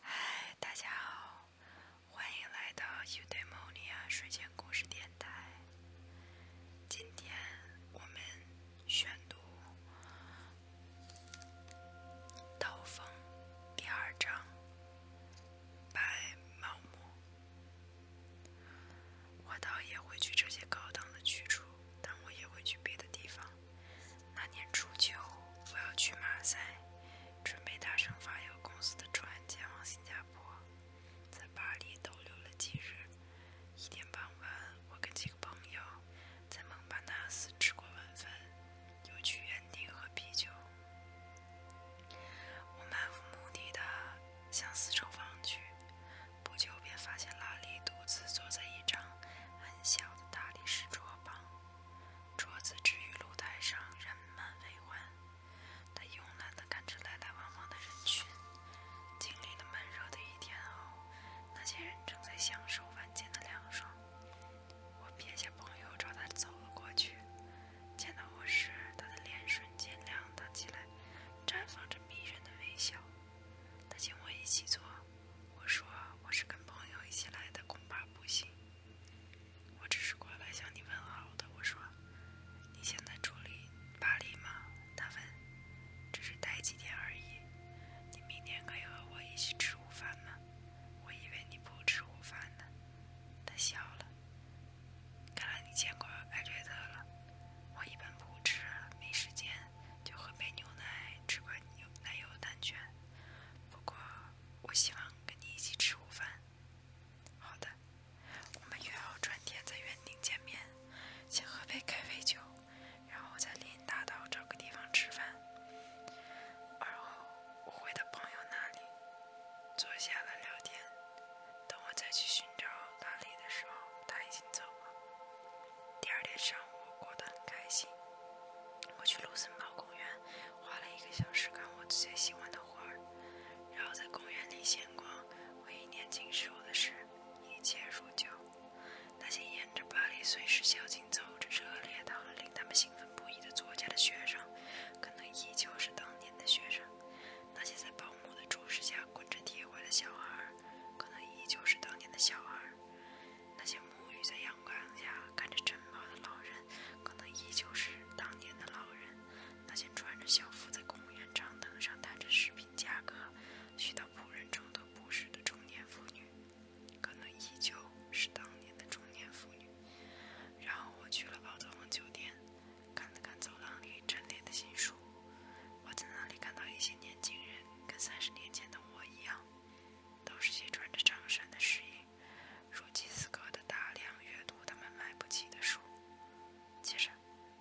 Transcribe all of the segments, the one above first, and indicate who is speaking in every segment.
Speaker 1: 嗨，大家好，欢迎来到《伊对梦里啊》睡前故事电台。今天我们宣读《刀锋》第二章《白毛木》。我倒也会去这些高档的去处，但我也会去别的地方。那年初秋，我要去马赛，准备搭乘发游公司的船前往新加坡。在巴黎逗留了几日，一天傍晚，我跟几个朋友在蒙巴纳斯吃过晚饭，又去原地喝啤酒。我漫无目的地向四周望去，不久便发现拉里独自坐在一张很小的大理石桌旁。桌子置于露台上，人满为患。他慵懒地看着来来往往的人群。经历了闷热的一天后，那些人正在享受晚间的凉爽。我撇下朋友，朝他走了过去。见到我时，他的脸瞬间亮堂起来，绽放着迷人的微笑。他请我一起坐。我说我是跟朋友一起来的，恐怕不行。我只是过来向你问好的。我说，你现在住里巴黎吗？他问。只是待几天而已。你明天可以和我一起吃午饭吗？我以为你不吃午饭呢。他笑了。看来你见过艾略特了。我一般不吃，没时间，就喝杯牛奶，吃块牛奶油蛋卷。不过，我希望跟你一起吃午饭。好的，我们约好转天在园丁见面，先喝杯咖啡酒，然后在林荫大道找个地方吃饭。而后，我回到朋友那里，坐下来聊天。等我再去寻找拉里的时候，他已经走了。第二天上午，我过得很开心。我去卢森堡公园，花了一个小时干我最喜欢的活儿，然后在公园里闲逛，回忆年轻时候的事，一切如旧。那些沿着巴黎碎石小径走着、热烈到了令他们兴奋不已的作家的学生，可能依旧是当年的学生；那些在保姆的注视下滚着铁环的小孩，可能依旧是当年的小孩。那些沐浴在阳光下看着晨跑的老人，可能依旧是当年的老人；那些穿着校服在公园长凳上谈着食品价格、许多仆人中都不是的中年妇女，可能依旧是当年的中年妇女。然后我去了奥德翁酒店，看了看走廊里陈列的新书。我在那里看到一些年轻人，跟三十年前的我一样。都是些穿着长衫的士绅，如饥似渴的大量阅读他们买不起的书。接着，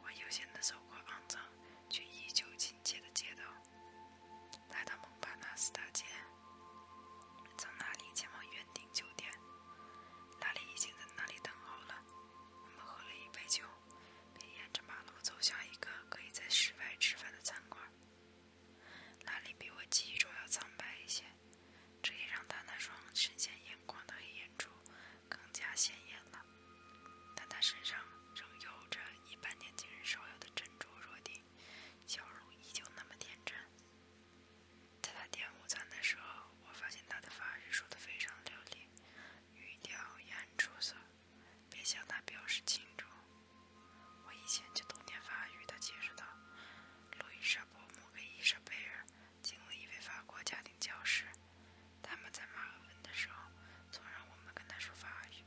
Speaker 1: 我悠闲地走过肮脏却依旧亲切的街道，来到蒙巴纳斯大街，从那里前往园丁酒店。那里已经在那里等候了。我们喝了一杯酒，便沿着马路走向一个可以在室外吃饭的餐馆。哪里比我记忆中要苍白一些？这也让他那双深陷眼眶的黑眼珠更加显眼了。但他身上仍有着一般年轻人少有的珍珠弱点，笑容依旧那么天真。在他点午餐的时候，我发现他的发语说得非常流利，语调也很出色，便向他表示庆祝。我以前就懂点法语的，解释道。路易莎伯姆和伊莎贝尔经了一位法国家庭教师，他们在马尔文的时候，总让我们跟他说法语。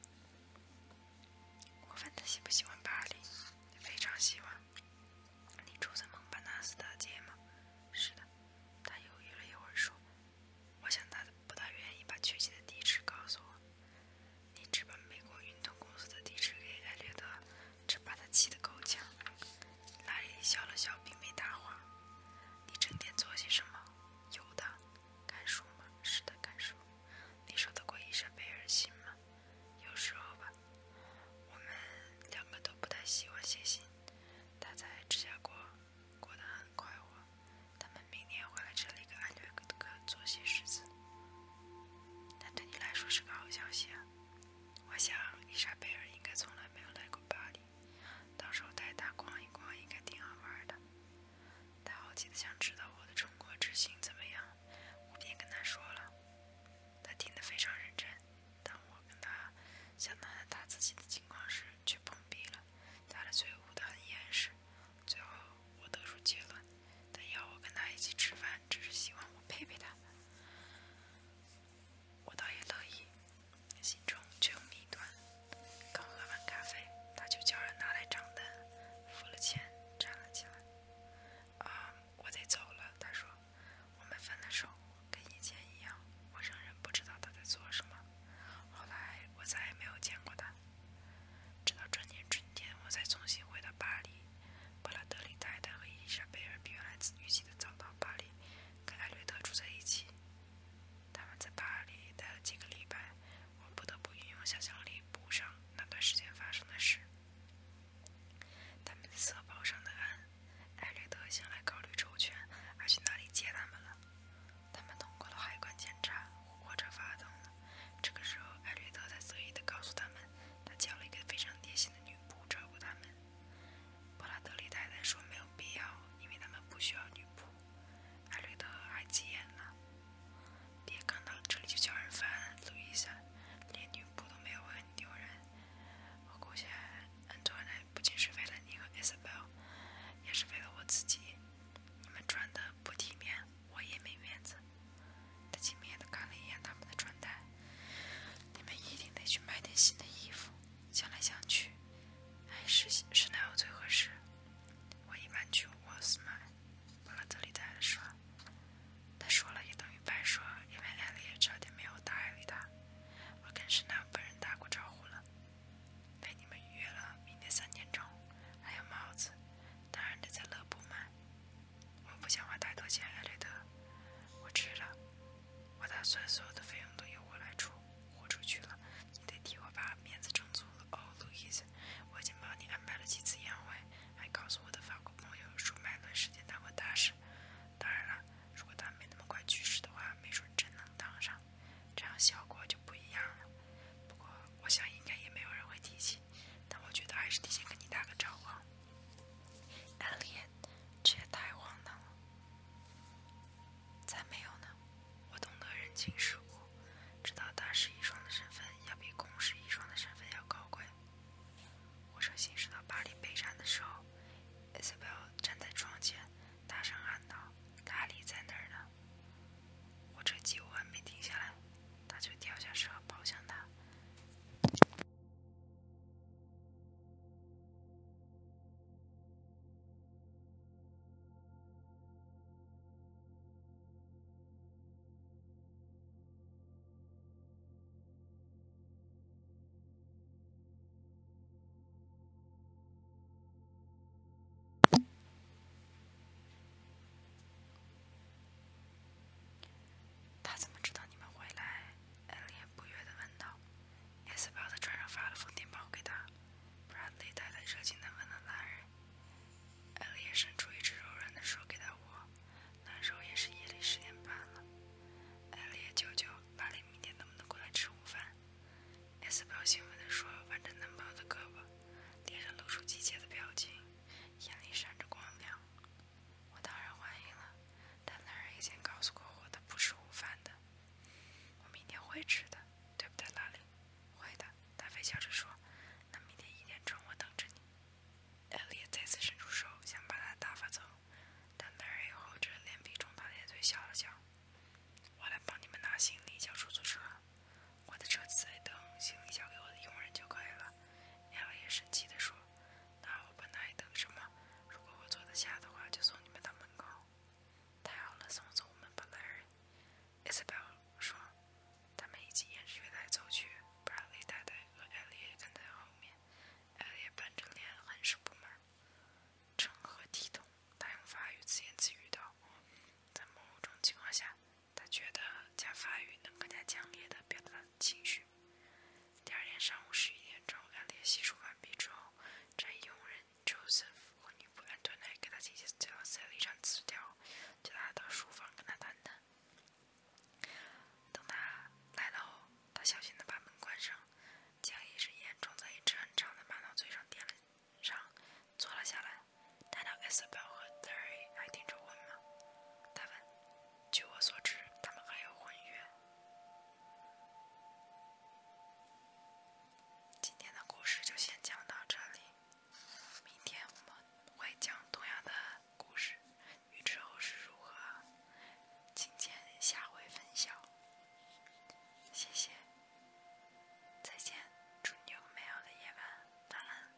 Speaker 1: 我问他喜不喜欢巴黎，非常喜欢。你住在蒙巴纳斯大街吗？是的。他犹豫了一会儿说，我想他不大愿意把确切的地址告诉我。你只把美国运动公司的地址给艾略特，这把他气得够呛。拉里笑了笑，并没搭话。你整天做些什么？游荡、看书吗？是的，看书。你说得过伊莎贝尔心吗？有时候吧。我们两个都不太喜欢写信。他在芝加哥过得很快活。他们明年会来这里给艾略特做些事。情。但对你来说是个好消息。啊！我想伊莎贝尔应该从来没有来过巴黎，到时候带她逛一逛应该挺好玩的。她好奇地想知道我的中国之行怎么样，我便跟她说了。她听得非常认真，但我跟她想到谈自己的情况时却碰壁了，她的嘴捂得很严实。最后，我得出结论，他要我跟他一起吃饭，只是希望我陪陪他。我倒也乐意，心中却有谜团。刚喝完咖啡，他就叫人拿来账单，付了钱，站了起来。啊，我得走了。他说，我们分了手，跟以前一样。我仍然不知道他在做什么。后来，我再也没有见过他。直到这年春天，我才重新回到巴黎。布拉德利太太和伊丽莎尔比原来预计的早到巴黎，跟艾略特住在一起。他们在巴黎待了几个礼拜，我不得不运用想象力补上那段时间发生的事。他们瑟堡上的岸，艾略特先来考虑周全，还去哪里接他们了？他们通过了海关检查，火车发动了。这个时候，艾瑞特才得意地告诉他们，他叫了一个非常贴心的女仆照顾他们。布拉德利太太说没有必要，因为他们不需要女仆。艾瑞特还急眼了：“别看到这里就叫人烦，路易斯连女仆都没有，我很丢人。我雇下安多奈，不仅是为了你和艾斯贝尔，也是为了我自己。你们穿的不体面，我也没面子。”他轻蔑地看了一眼他们的穿戴，你们一定得去买点新的衣服。想来想去，还是是奈奥最合适。我一般去沃斯买，布拉德利接着说。他说了也等于白说，因为艾莉也差点没有答应他。我跟是奈奥本人打过招呼了，被你们约了明天三点钟。还有帽子，当然得在乐布买。我不想花太多钱艾蕾德。我吃了。我打算所有的费用都由我来出，豁出去了。你得替我把面子撑足了哦，路易斯。我已经帮你安排了几次宴会，还告诉我的法国朋友说麦伦事件当过大事。当然了，如果他没那么快去世的话，没准真能当上，这样效果就不一样了。不过我想应该也没有人会提起。但我觉得还是提前跟你打个招呼。安利，这也太荒唐了。才没有呢？我懂得人情世故，知道大师遗孀的身份要比公师遗孀的身份要高贵。火车行驶到巴黎北站的时候，艾斯 e l 站在窗前，大声喊道：“达利在那儿呢！”火车几乎还没停下来。他就跳下车，跑向他。他怎么知道你们回来？艾莉不悦地问道。S 宝的船上发了封电报给他，不然得带来热情难问了男人。艾莉伸出一只柔软的手给他握，那时候也是夜里十点半了。艾莉叫叫，巴里明天能不能过来吃午饭？S 宝兴奋地说，挽着男朋友的胳膊，脸上露出急切的表情。眼里闪着光亮，我当然欢迎了。但那人已经告诉过我的，不吃午饭的。我明天会吃的，对不对，拉里？会的，达菲笑着说。那明天一点钟我等着你。艾丽再次伸出手，想把他打发走，但那人又厚着脸皮冲他咧嘴笑了笑。我来帮你们拿行李，叫出租车。我的车子在等，行李交给我的佣人就可以了。艾莉生气地说：“那我不还等什么？如果我坐得下的话，就送你们到门口。”太好了，送走我们吧，莱恩。”伊莎贝尔说。他们一起沿着月台走去，布拉德太太和艾莉跟在后面。艾莉板着脸，很是不满。成何体统？她用法语自言自语道：“在某种情况下。”他觉得讲法语能更加强烈地表达情绪。第二天上午十一点钟，安烈洗漱完毕之后，宅佣人 Joseph 和女仆 a n t o n e 给他姐姐最后塞了一张字条，叫他到书房跟他谈谈。等他来到，他小心地把门关上，将一支烟装在一支很长的马脑嘴上点了上，坐了下来。到 i S l 和 Derry 还盯着我吗？他问。据我所知，他们还有婚约。今天的故事就先讲到这里，明天我们会讲同样的故事，预知后事如何，请见下回分晓。谢谢，再见，祝你有美好的夜晚，晚安。